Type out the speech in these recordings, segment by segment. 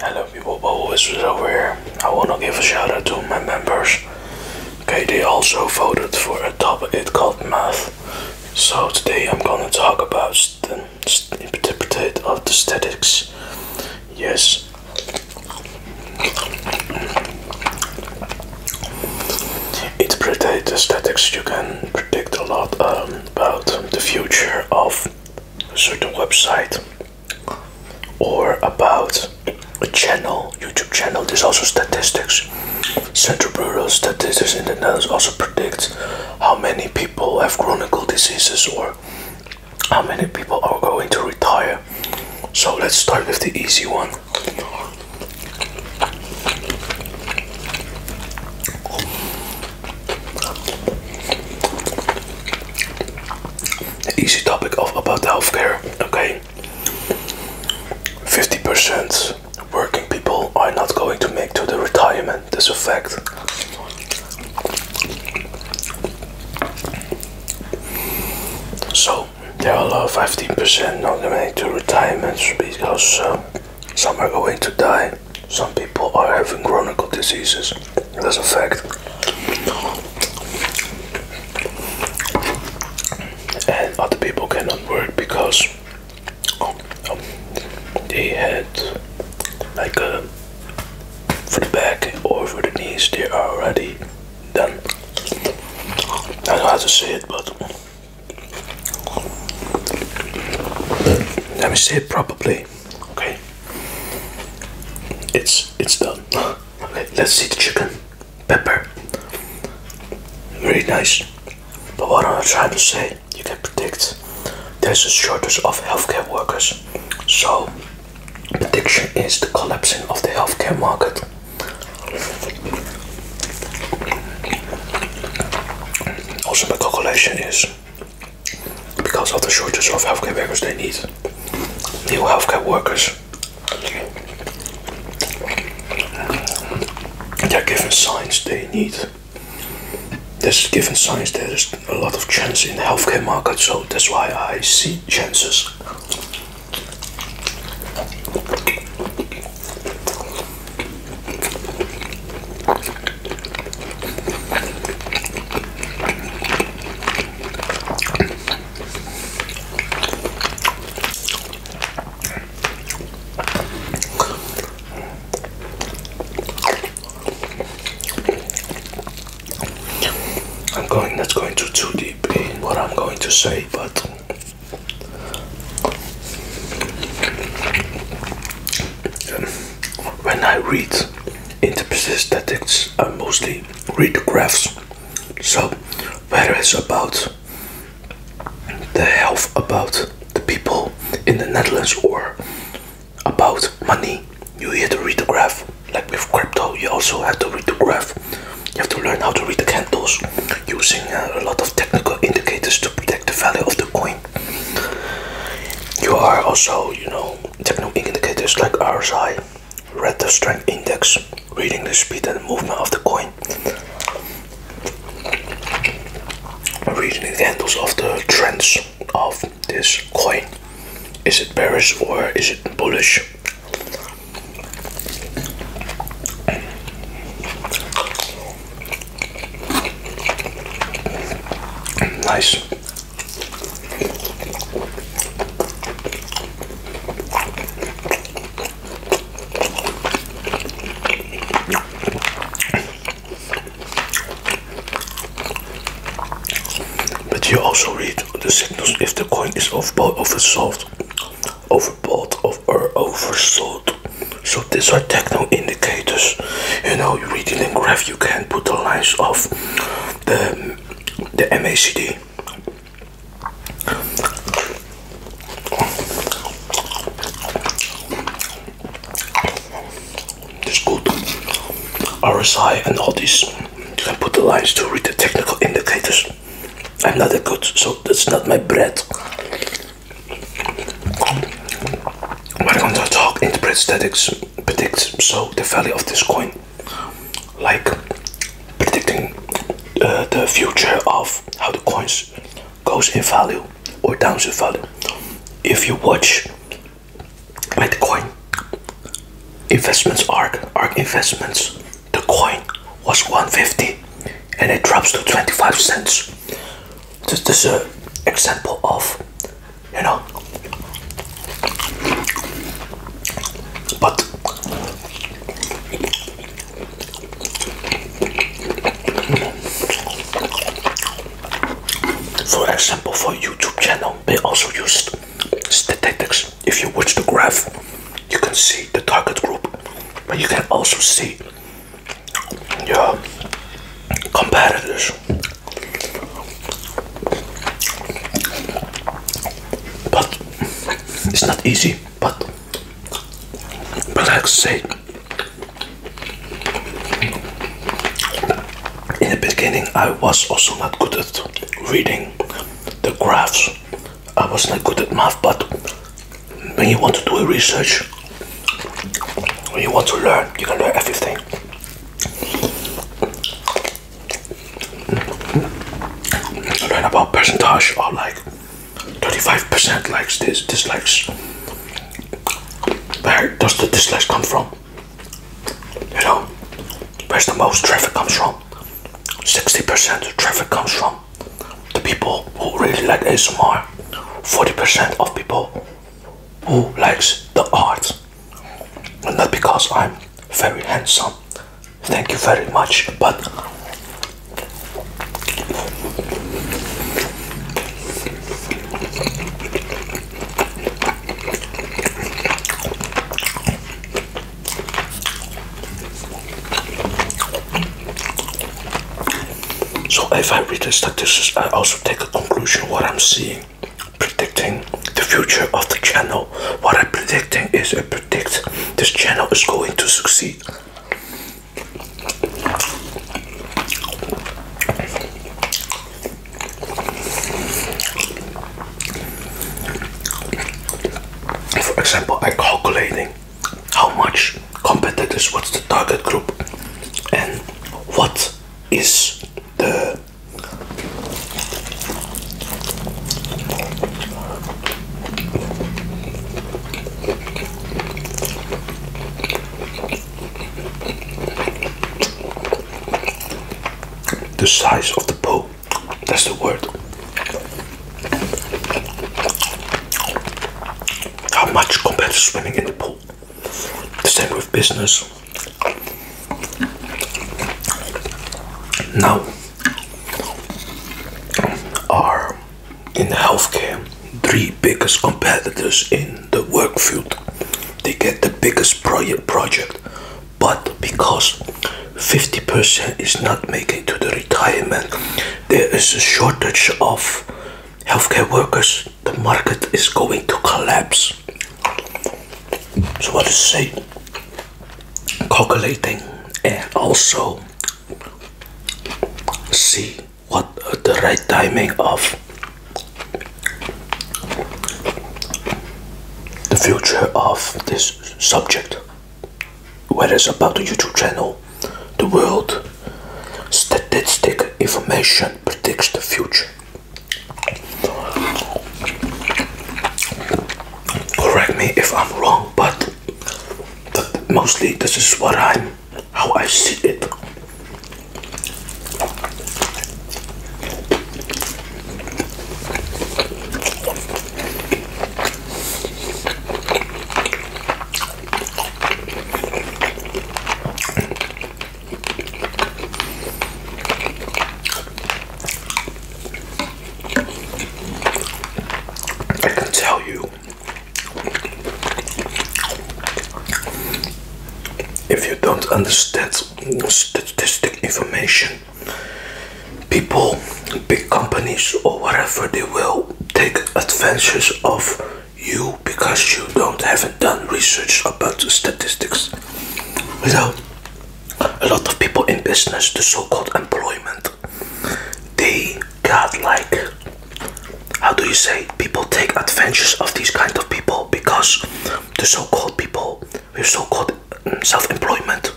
Hello people, Bobo is over here. I wanna give a shout out to my members. Okay, they also voted for a top. topic called math. So today I'm gonna talk about the interpretate of the statics. Yes. Interpretate the statistics. you can predict a lot um, about the future of a certain website or about a channel, YouTube channel. There's also statistics. Central Bureau Statistics in the Netherlands also predicts how many people have chronic diseases or how many people are going to retire. So let's start with the easy one easy topic of about healthcare, okay? 50% working people are not going to make to the retirement. This a fact. So there are 15% not going to make to retirement because uh, some are going to die. Some people are having chronic diseases. That's a fact. And other people cannot work because um, they had like for the back or for the knees they are already done. I don't have to say it, but let me say it properly. Okay, it's it's done. Let's see the chicken, pepper. Very nice. But what I'm trying to say, you can predict there's a shortage of healthcare workers. So prediction is the collapsing of the healthcare market. Also my calculation is because of the shortage of healthcare workers they need new healthcare workers they're given signs they need there's given signs there's a lot of chance in the healthcare market so that's why I see chances I'm going that's going to too deep in what I'm going to say, but when I read interpretive statistics, I mostly read the graphs. So, whether it's about the health, about the people in the Netherlands, or about money, you have to read the graph. Like with crypto, you also have to read the graph. You have to learn how to read the candles using uh, a lot of technical indicators to predict the value of the coin. You are also, you know, Technical indicators like RSI, read the strength index, reading the speed and movement of the coin, reading the handles of the trends of this coin. Is it bearish or is it bullish? Nice. But you also read the signals if the coin is overbought, oversold, overbought, or oversold. So these are technical indicators. You know, reading the graph, you can put the lines off the the MACD. It's good. RSI and all these. You can put the lines to read the technical indicators. I'm not that good, so that's not my bread. We're gonna talk interpret statics, Predict so the value of this coin, like predicting uh, the future of how the coins goes in value or down in value. If you watch Bitcoin investments are arc investments, the coin was 150 and it drops to 25 cents. This is an example of you know. But for example, for YouTube channel, they also used statistics. If you watch the graph, you can see the target group, but you can also see your competitors. But it's not easy, but but like I say in the beginning I was also not good at reading the graphs. I was not good at math but when you want to do a research when you want to learn you can learn everything. Learn about percentage of like 35% likes this dislikes. Where does the dislikes come from? You know, where's the most traffic comes from? 60% of traffic comes from the people who really like ASMR. 40% of people who likes the art not because I'm very handsome, thank you very much, but so if I read the statistics, I also take a conclusion what I'm seeing predicting the future of the channel. What I'm predicting is I predict this channel is going to succeed. For example, I'm calculating how much competitors, what's the target group, and what is the the size of the pool. that's the word. How much compared to swimming in the pool? The same with business. Now, are in healthcare three biggest competitors in the work field. They get the biggest project project, but because 50% is not making to the retirement, there is a shortage of healthcare workers the market is going to collapse. So what to say? Calculating and also see what the right timing of the future of this subject whether it's about the YouTube channel, the world, statistic information predicts the future. Correct me if I'm wrong, but mostly this is what i how I see it. I can tell you if you don't understand statistic information, people, big companies, or whatever, they will take advantage of you because you don't have done research about statistics. Without a lot of people in business, the so-called employment, they got like, how do you say, people take advantage of these kind of people because the so-called people with so-called mm, self-employment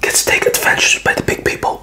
gets take advantage by the big people.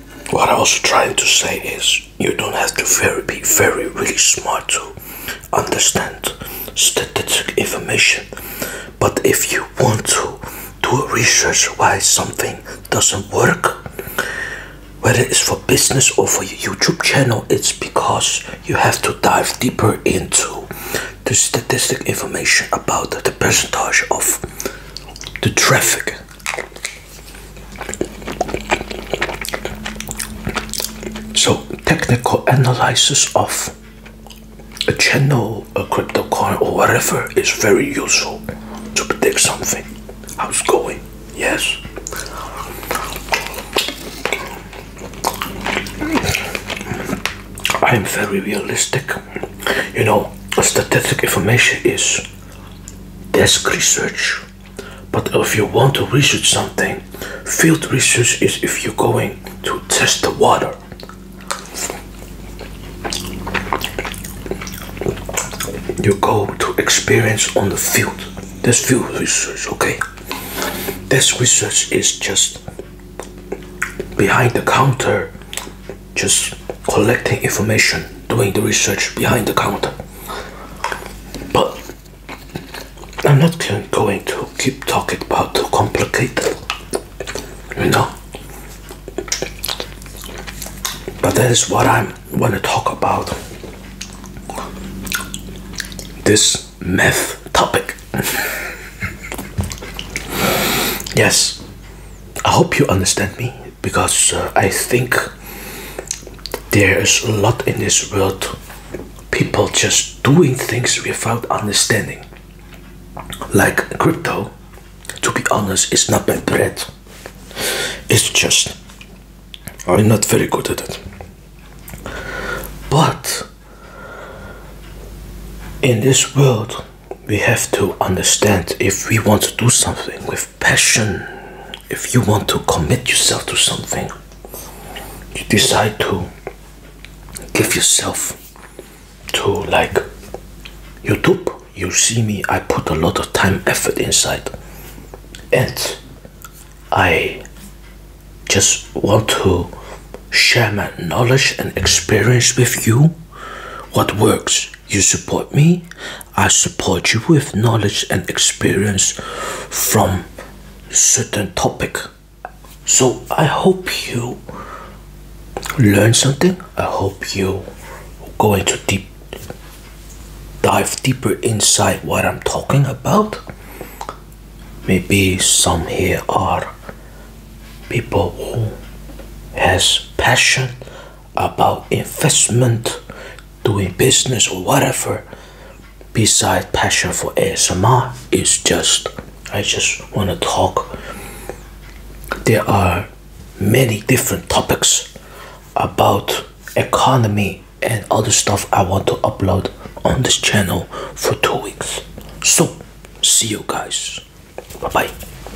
what I was trying to say is you don't have to very be very really smart to understand statistical information but if you want to do research why something doesn't work whether it's for business or for your YouTube channel it's because you have to dive deeper into the statistic information about the percentage of the traffic so technical analysis of a channel, a crypto coin, or whatever is very useful to predict something. How's it going? Yes. I am very realistic. You know, statistical information is desk research. But if you want to research something, field research is if you're going to test the water. You go to experience on the field. That's field research, okay? Desk research is just behind the counter just collecting information, doing the research behind the counter. But I'm not going to keep talking about too complicated, you know. But that is what I want to talk about. This meth topic. yes, I hope you understand me because uh, I think there is a lot in this world people just doing things without understanding. Like crypto, to be honest, it's not my bread. It's just I'm not very good at it. But in this world, we have to understand if we want to do something with passion, if you want to commit yourself to something, you decide to give yourself to like YouTube. You see me, I put a lot of time, effort inside, and I just want to share my knowledge and experience with you what works? You support me, I support you with knowledge and experience from certain topic. So I hope you learn something. I hope you go into deep dive deeper inside what I'm talking about. Maybe some here are people who has passion about investment, doing business or whatever, beside passion for ASMR, is just I just want to talk. There are many different topics about economy and other stuff I want to upload on this channel for two weeks. So, see you guys. Bye bye.